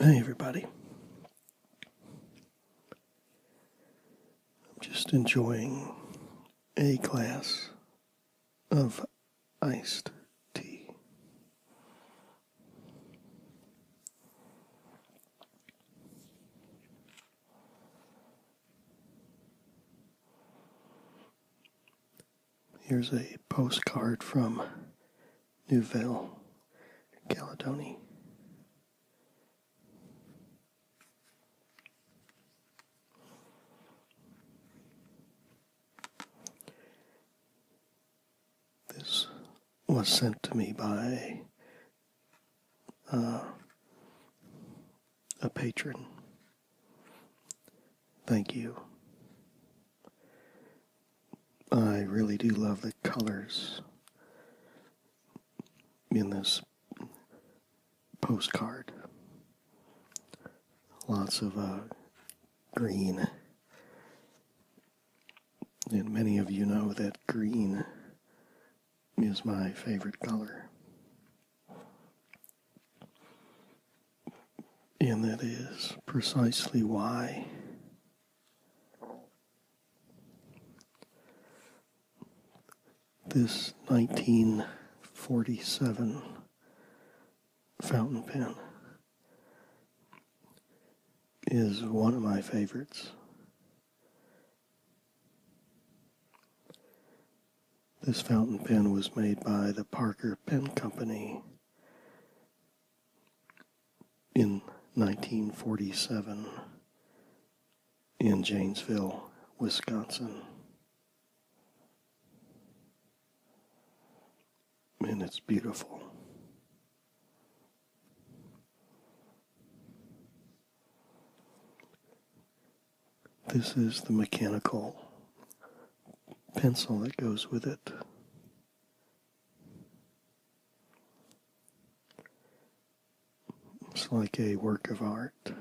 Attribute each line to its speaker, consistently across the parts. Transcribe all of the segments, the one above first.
Speaker 1: Hey, everybody. I'm just enjoying a glass of iced tea. Here's a postcard from Newville, Caledonia. This was sent to me by uh, a patron. Thank you. I really do love the colors in this postcard. Lots of uh, green. And many of you know that green is my favorite color. And that is precisely why this 1947 fountain pen is one of my favorites. This fountain pen was made by the Parker Pen Company in 1947 in Janesville, Wisconsin. And it's beautiful. This is the mechanical pencil that goes with it. It's like a work of art.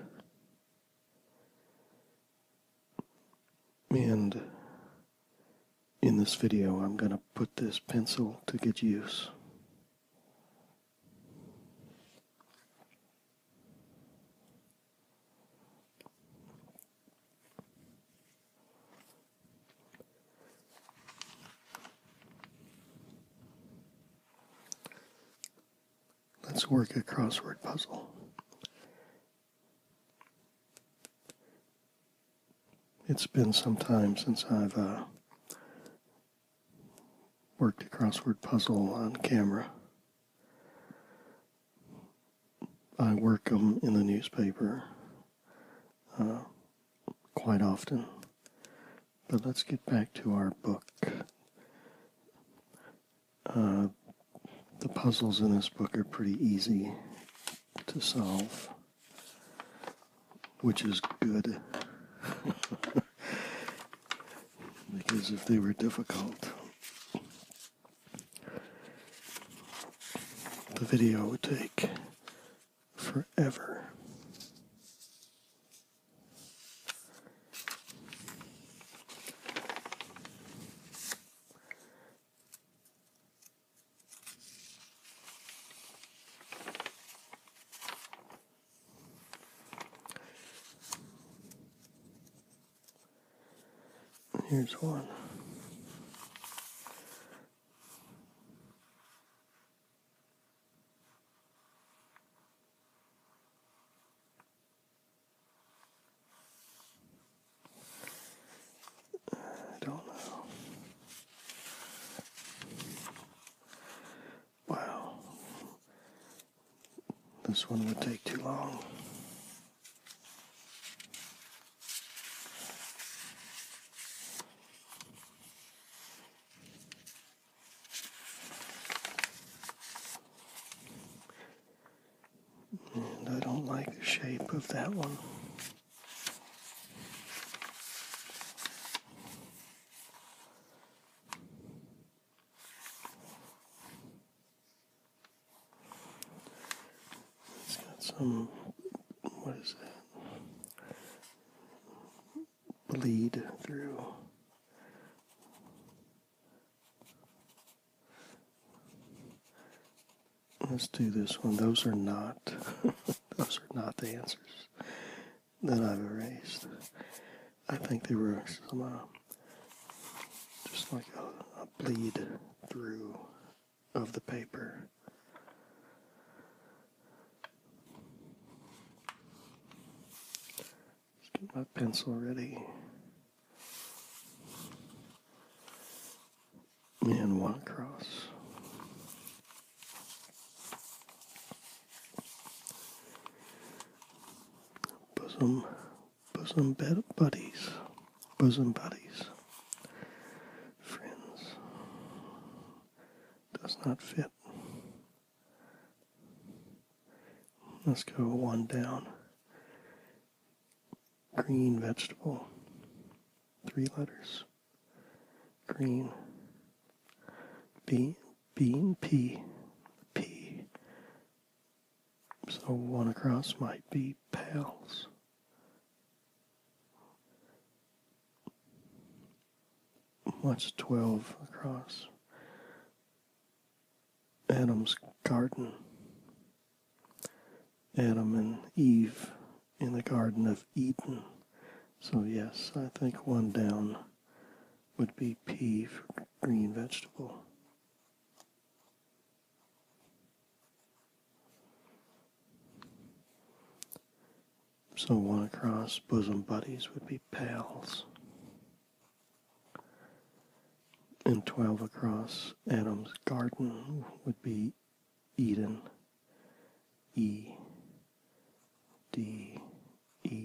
Speaker 1: And in this video, I'm going to put this pencil to good use. Let's work a crossword puzzle. It's been some time since I've uh, worked a crossword puzzle on camera. I work them in the newspaper uh, quite often. But let's get back to our book. Uh, the puzzles in this book are pretty easy to solve, which is good. because if they were difficult, the video would take forever. Here's one. I don't know. Wow. This one would take too long. And I don't like the shape of that one. It's got some, what is that? Bleed through. Let's do this one. Those are not, those are not the answers that I've erased. I think they were some, just like a, bleed through of the paper. get my pencil ready. And one across. Bosom, bosom buddies, bosom buddies, friends, does not fit. Let's go one down. Green vegetable, three letters. Green. Beans. Bean P, P. So one across might be pals. What's 12 across? Adam's garden. Adam and Eve in the Garden of Eden. So, yes, I think one down would be P for green vegetable. So one across bosom buddies would be pals. And 12 across Adam's garden would be Eden. E. D E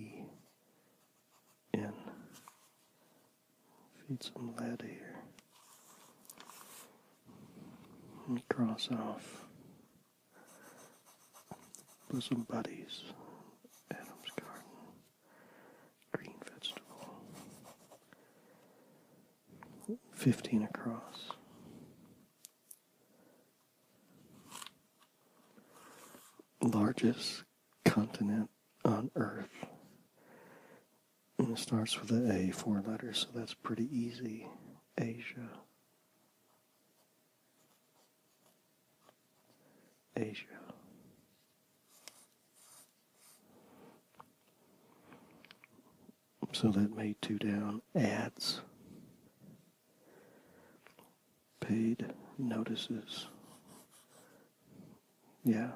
Speaker 1: N. Feed some lead here. Let cross off bosom buddies. Adam's garden. Green vegetable. Fifteen across largest continent on Earth. And it starts with A, four letters, so that's pretty easy. Asia. Asia. So that made two down. Ads paid notices. Yeah,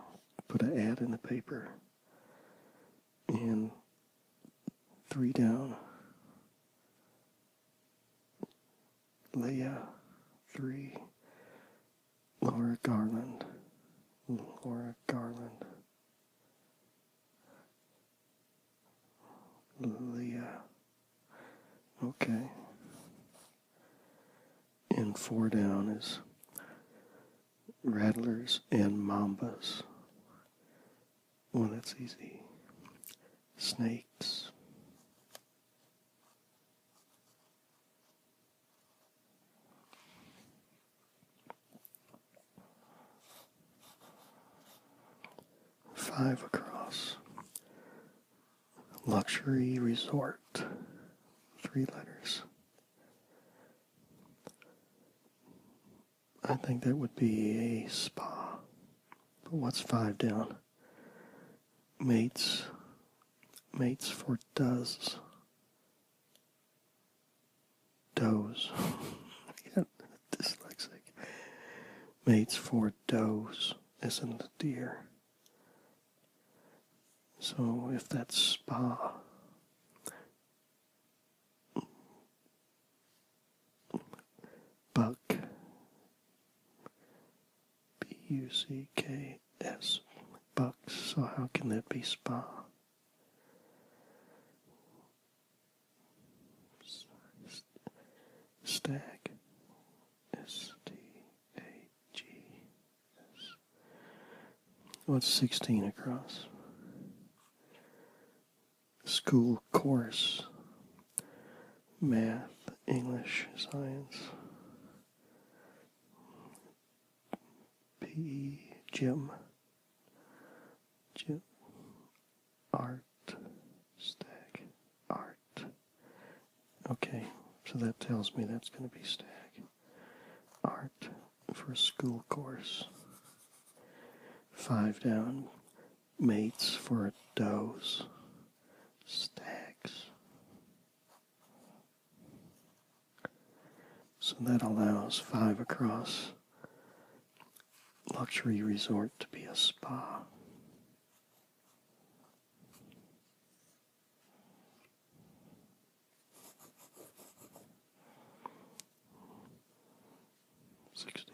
Speaker 1: put an ad in the paper. And three down. Leah, three. Laura Garland. Laura Garland. Leah. Okay. And four down is rattlers and mambas. Well, that's easy. Snakes five across. Luxury resort, three letters. I think that would be a spa. But what's five down? Mates. Mates for does. Does. I Dyslexic. Mates for does, isn't it, dear? So if that's spa, buck, B U C K S, bucks, so how can that be spa? Stag S T A G S. What's sixteen across? School course. Math, English, science. PE gym. Gym art, stack, art. Okay, so that tells me that's going to be stack. Art for a school course. Five down, mates for a dose, Stacks. So that allows five across luxury resort to be a spa. Sixteen,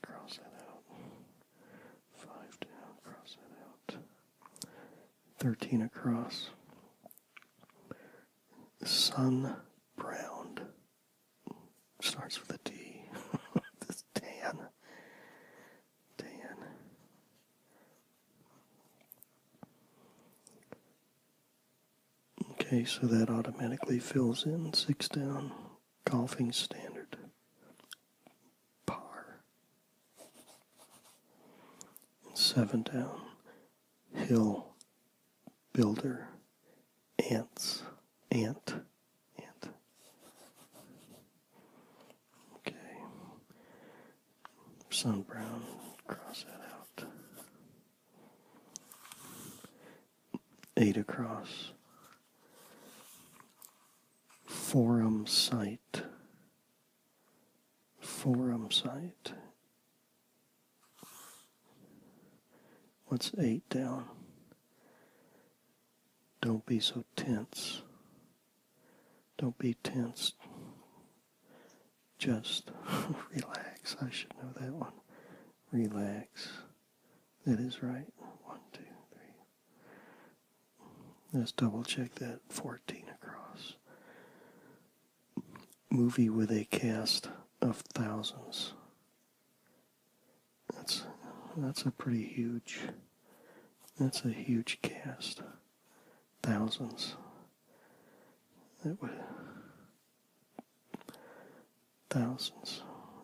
Speaker 1: cross that out. Five down, cross that out. Thirteen across. Sun browned starts with a D. this Dan. Dan. Okay, so that automatically fills in six down golfing standard. Par. And seven down hill builder ants ant and okay, sun brown, cross that out, eight across, forum site, forum site. What's eight down? Don't be so tense. Don't be tense. Just relax. I should know that one. Relax. That is right. One, two, three. Let's double check that. 14 across. Movie with a cast of thousands. That's that's a pretty huge that's a huge cast. Thousands. That would thousands.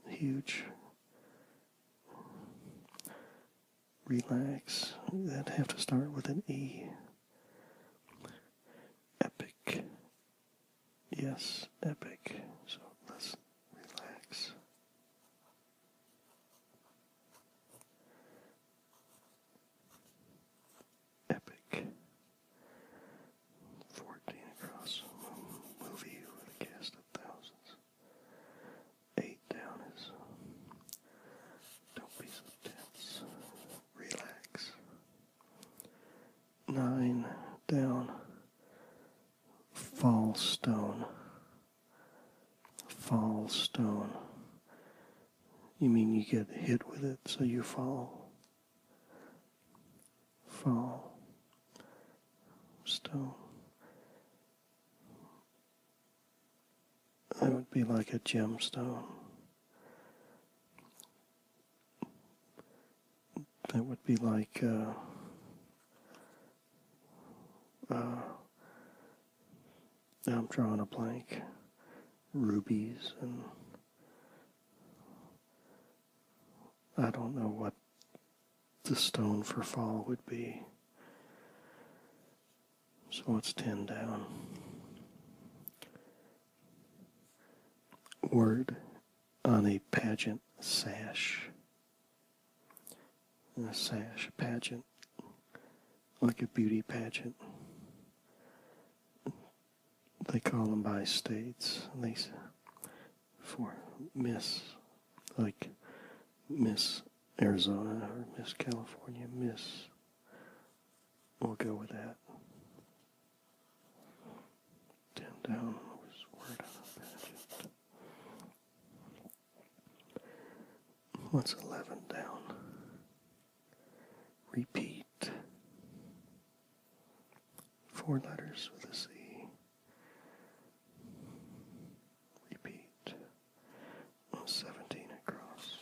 Speaker 1: Huge. Relax. that have to start with an E. Epic. Yes, epic. So let's relax. Epic. 14 across movie with a cast of thousands. 8 down is don't be so tense. Relax. 9 down fall stone. Fall stone. You mean you get hit with it, so you fall. Fall stone. I would be like a gemstone that would be like uh, uh, I'm drawing a blank. Rubies and I don't know what the stone for fall would be. So it's 10 down. Word on a pageant sash a sash, a pageant, like a beauty pageant. They call them by states, and they for Miss, like Miss Arizona or Miss California, Miss. We'll go with that. Down down What's 11 down? Repeat. Four letters with a C. Repeat. 17 across.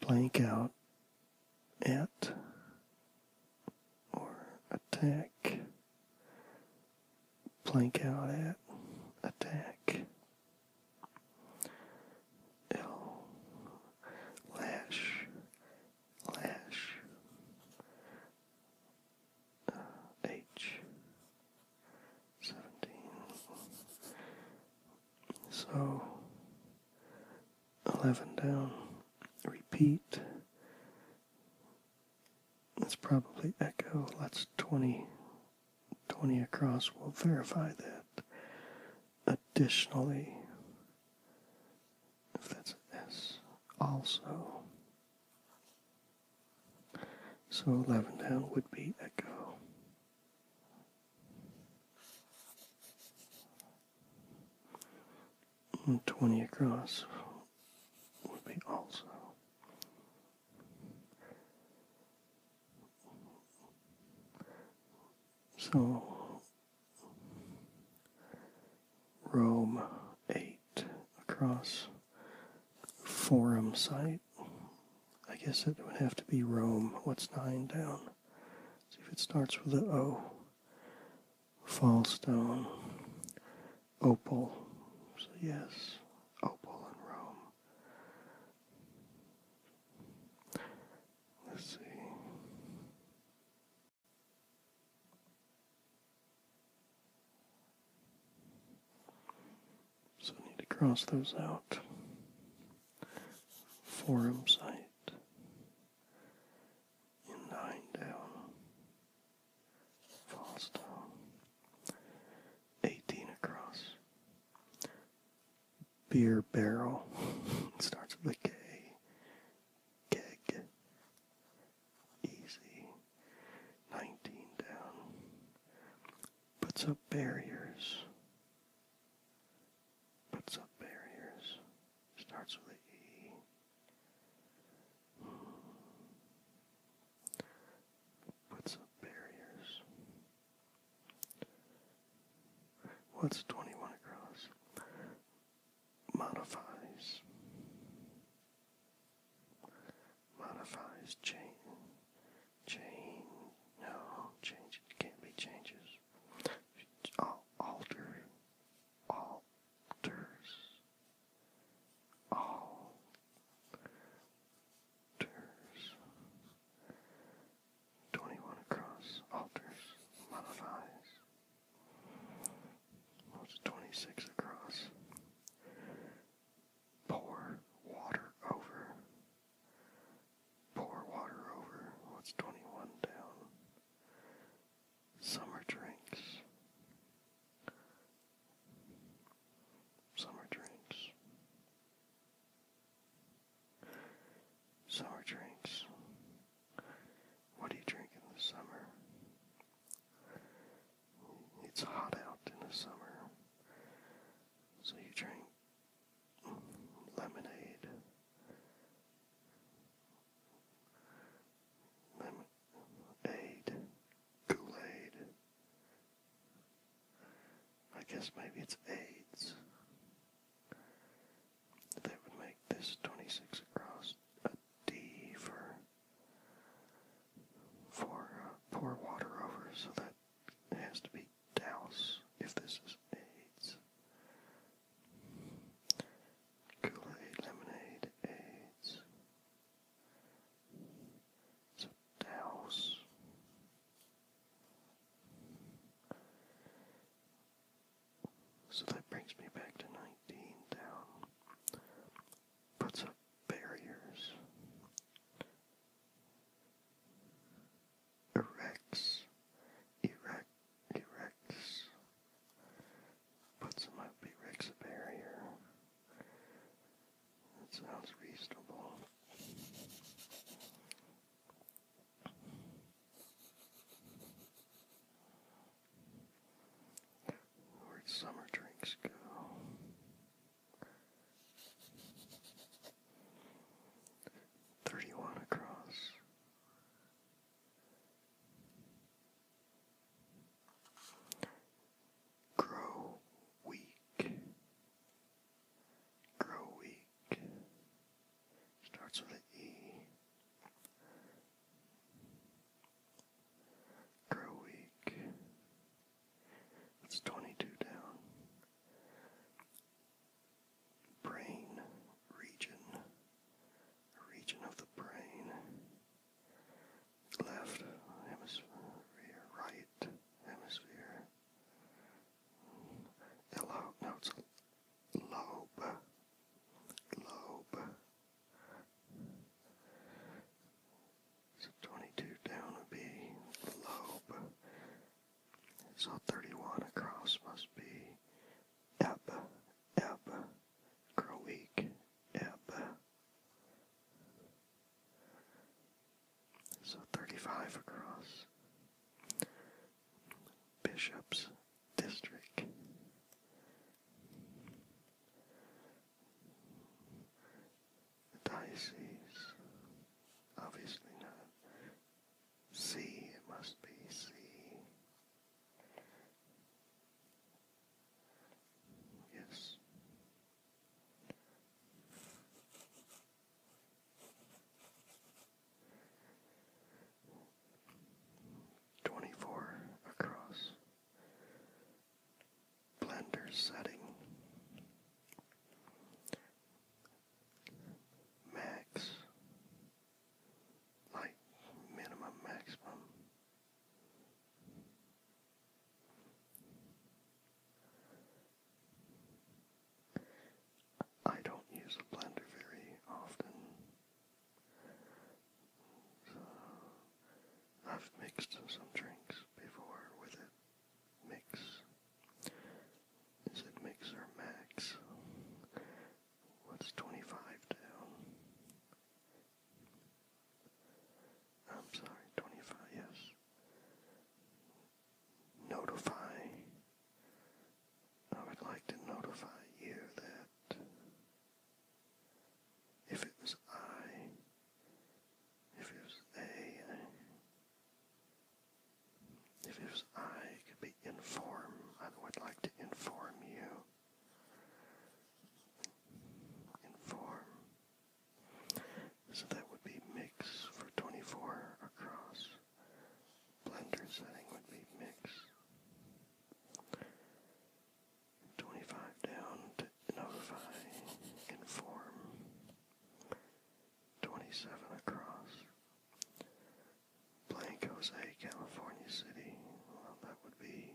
Speaker 1: Blank out at or attack, blank out at, attack, L, lash, lash, uh, H, 17. So 11 down. Repeat. That's probably echo. That's 20, 20 across. We'll verify that. Additionally, if that's S, also. So 11 down would be echo. 20 across would be also. So, Rome 8 across Forum site. I guess it would have to be Rome. What's 9 down? see if it starts with an O. Fallstone, Opal. yes, Opal and Rome. Let's see. So I need to cross those out. Forum site in down, falls 18 across, beer barrel, starts with a K, keg, easy, 19 down, puts up barriers, puts up barriers, starts with the Puts up barriers. What's 21 across? Modifies. Modifies, change, change, no, change, can't be changes. Al alters, alters, twenty-one across, alters, modifies, what's twenty-six across, pour water over, Pour water over. What's 21 down? Summer drinks. Summer drinks. Summer drinks. What do you drink in the summer? It's hot out in the summer. So you drink lemonade, lemonade, Kool-Aid. I guess maybe it's AIDS. That would make this 26 across a D for for uh, pour water over, so that has to be douse if this is AIDS. Kool-Aid lemonade aids. So So that brings me back to 19 down. Puts up barriers erects, erect, erects, puts them up, erects barrier. That sounds reasonable. Where'd summer drinks go? Thirty one across Grow weak. Grow weak. Starts with an E. Grow weak. That's 22 down brain region, region of the brain, left hemisphere, right hemisphere. The lobe, no, it's a lobe, lobe. So 22 down would be lobe. So 31 across must be ebb, ebb, grow week, ebb. So 35 across. Bishop's district. Diocese. Obviously not. C, it must be C. Yes. Twenty four across. Blender setting. Max like minimum, maximum. I don't use a blender very often. I've mixed some drinks before with it. Mix is it makes our max. What's 25 down? I'm sorry, 25, yes. Notify. I would like to notify you that if it was I, if it was A, if it was I, could be inform. I would like to inform you. Inform. So that would be mix for 24 across. Blender setting would be mix. 25 down to notify, inform. 27 across. Blank Jose, California City. Well, that would be.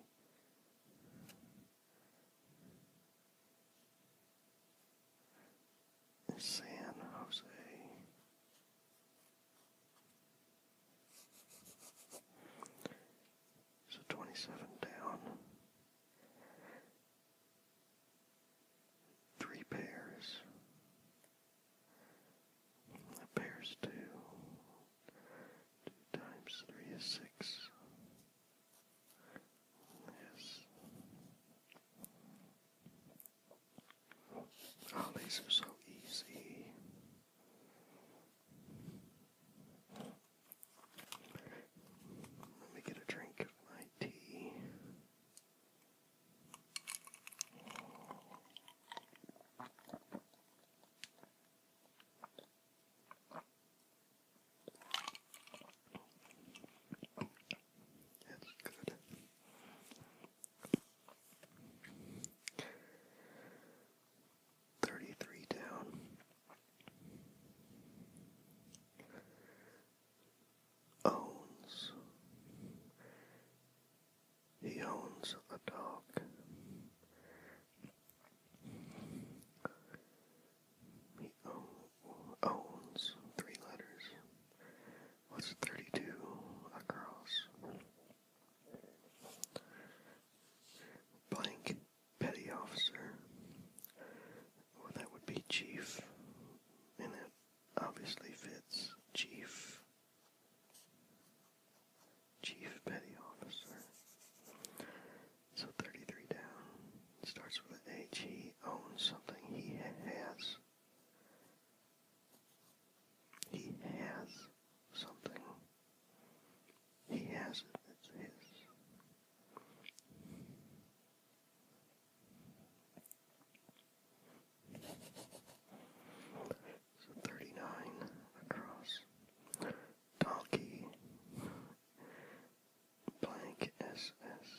Speaker 1: San Jose. So 27 down. Three pairs. Pairs two. Two times three is six. Yes. Oh, these are so easy. Let me get a drink of my tea. It's good. Thirty-three down owns. He owns a dog. He owns three letters. What's 32 across? Blank petty officer. Well, that would be chief in that obviously fits chief, chief petty officer. So 33 down starts with an H. He owns something he has. He has something. He has it. It's his. So 39 across. Donkey. Blank SS.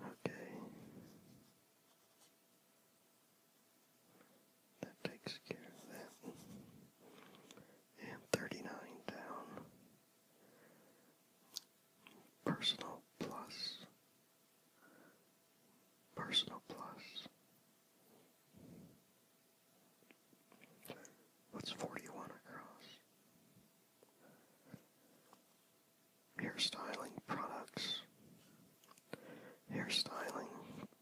Speaker 1: Okay. That takes care of that. And 39 down. Personal Plus, Personal Plus. What's 41 across? Hairstyling products. Hairstyling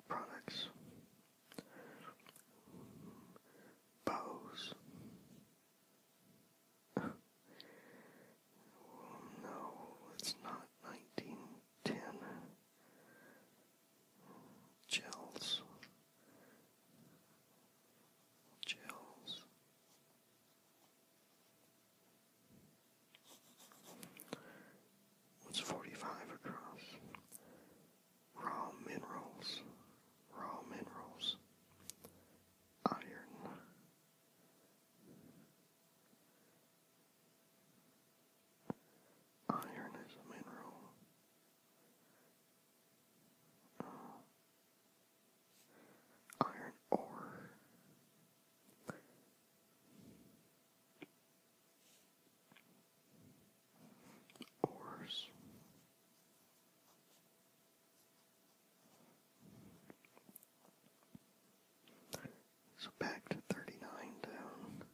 Speaker 1: products. Bows no, it's not 1910. Gels. Gels. What's 45 across? Raw minerals. Raw minerals. Iron. Iron is a mineral. Uh, iron ore. Ores. So back to 39 down.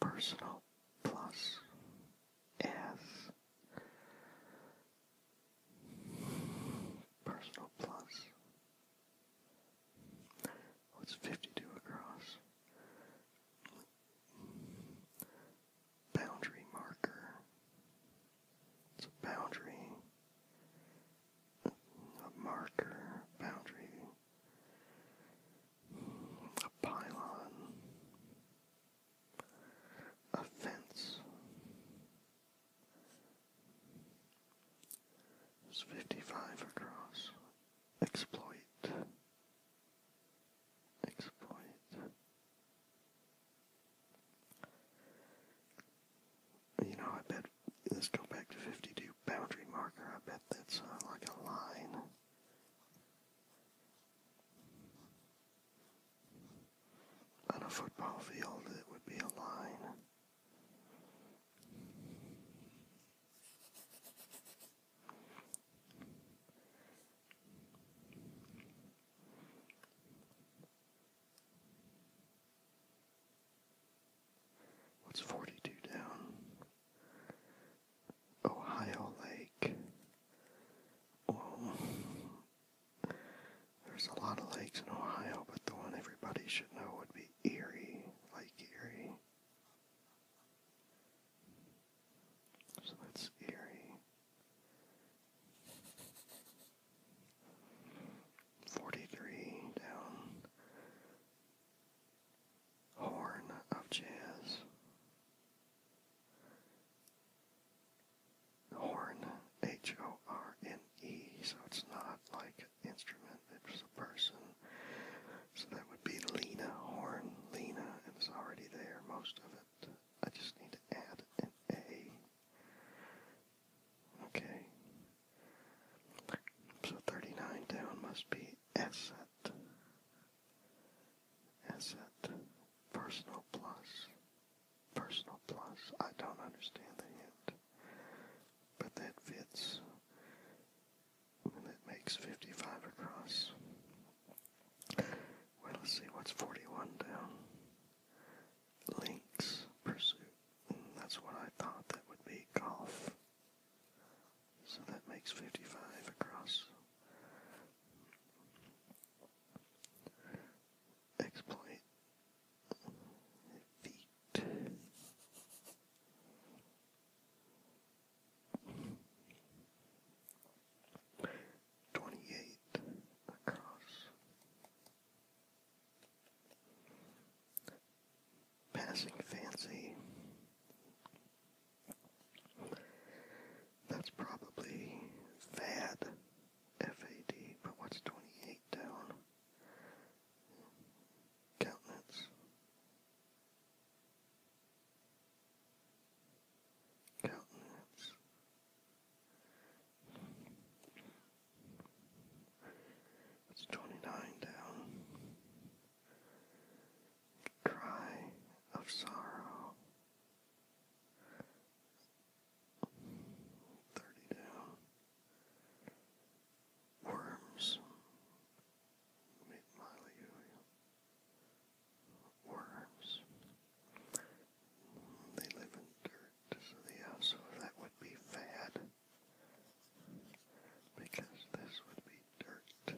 Speaker 1: Personal plus S. Personal plus. Oh, it's 52 across. Boundary marker. It's a boundary, a marker, boundary, a pylon, a fence. It's 55 across. Exploit. Exploit. You know, I bet, let's go back to 52 boundary marker, I bet that's uh, like a line. On a football field, it would be a line. What's 42 down? Ohio Lake. Oh. There's a lot of lakes in Ohio, but the one everybody should know would be Erie, Lake Erie. So that's Erie. 43 down. Horn of Jazz. Horn, H O R N E, so it's not like instrument, it's a person. So that would be Lena Horn. Lena, and it's already there, most of it. I just need to add an A Okay. So 39 down must be asset. Asset. Personal plus. Personal plus. I don't understand the hint. But that fits. And that makes 55 across. Well, let's see what's 41 down. Links Pursuit. that's what I thought that would be golf. So that makes 55 across. Exploit. Feet. 28 across. Passing fancy. That's probably FAD, FAD, but what's 28 down? Countenance. Countenance. It's 29 down. Cry of sorrow. 30 down. Worms. Miley worms. They live in dirt, so that would be fad because this would be dirt.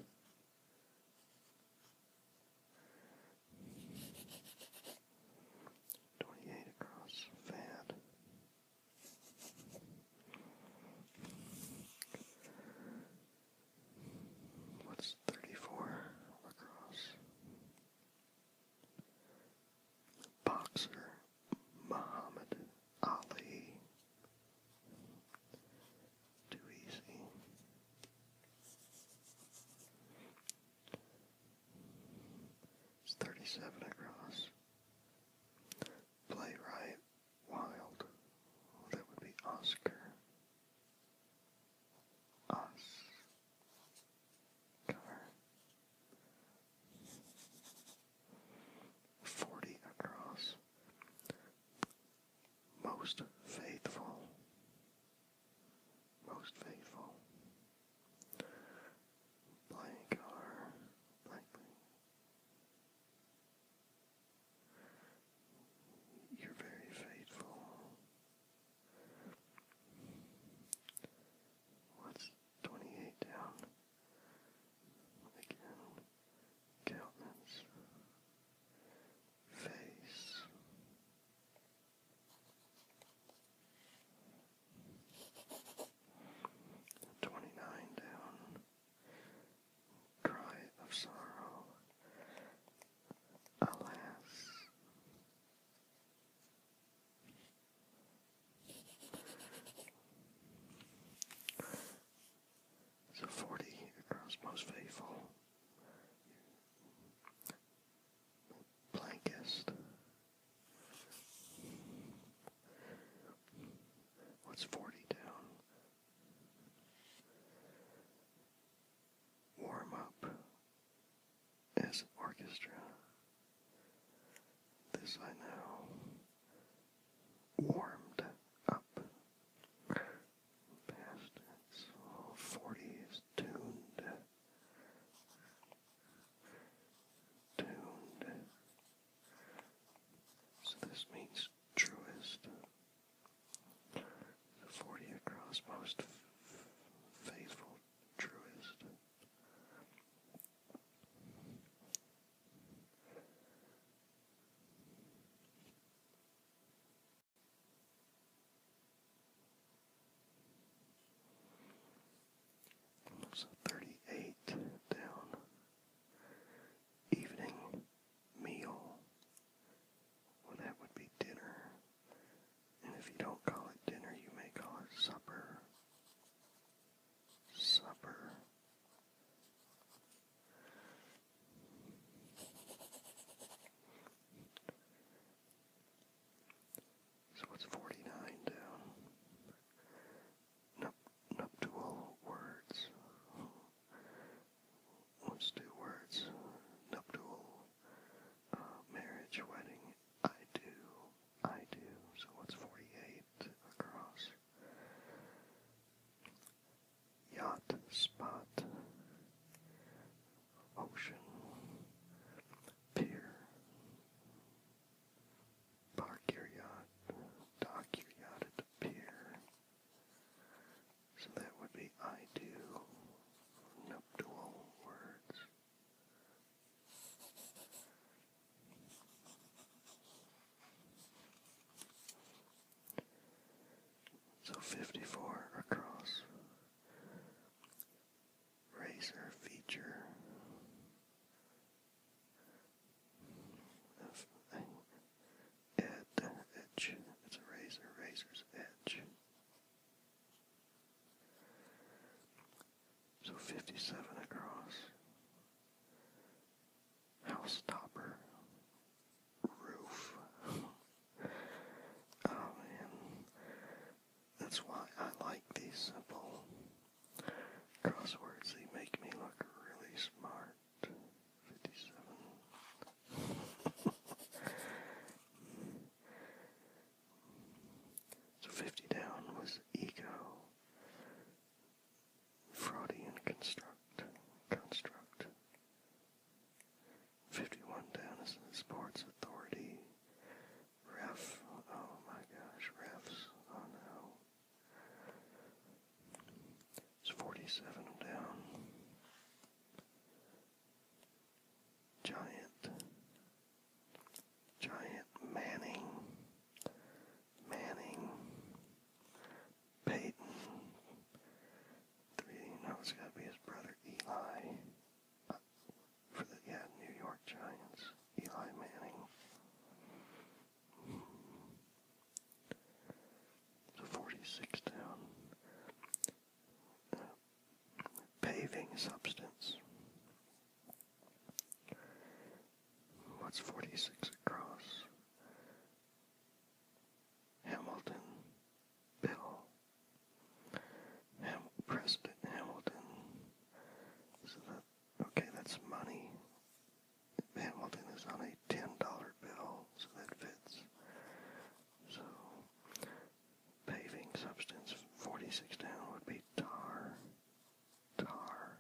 Speaker 1: Twenty-eight across fad. What's thirty-four across? Boxer Muhammad Ali. Too easy. It's 37 across. Playwright Wild. That would be Oscar. Oscar. Cover. 40 across. Most faithful. Most faithful. Blank color. You're very faithful. What's 28 down? Again, countenance, face. Twenty-nine down, cry of sorrow, alas, so forty across most faithful. Blankest. What's forty down? Warm up is orchestra. This I know warmed up past its 40s tuned. Tuned. So this means truest. The 40 across most faithful eternal truest. thirty eight down evening meal. Well that would be dinner. And if you don't call it dinner, you may call it supper. Supper. So what's 49 down? Nup nuptial words. Let's do words. Nuptial uh, marriage, wedding, I do, I do, so what's 48 across? Yacht, spot, ocean, pier, park your yacht, dock your yacht at the pier. So that would be I do, nuptial words. So fifty-four across razor feature of It's a razor, razor's edge. So 57 across. House topper. Roof. oh man. That's why I like these simple crosswords. They make me look really smart. 57. So 50 down was ego, Freudian construct, construct. 51 down is sports authority, ref, oh my gosh, refs, oh no. It's 47 down. Giant, Giant Manning, Manning, Peyton, three, no, it's got to be his brother Eli, uh, for the, yeah, New York Giants, Eli Manning. So 46 down paving substance. What's 46 across? Hamilton, Bill, Ham President Hamilton. So that, okay, that's money. Hamilton is on a $10 bill, so that fits. So Paving substance 46 down would be tar. Tar.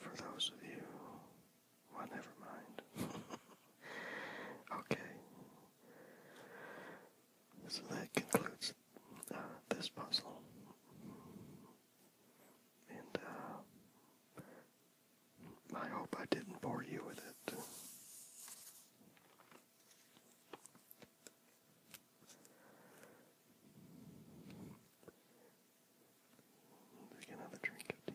Speaker 1: For those of you, well, never mind. okay. So that concludes uh, this puzzle. And uh, I hope I didn't bore you with it. Take another drink of tea.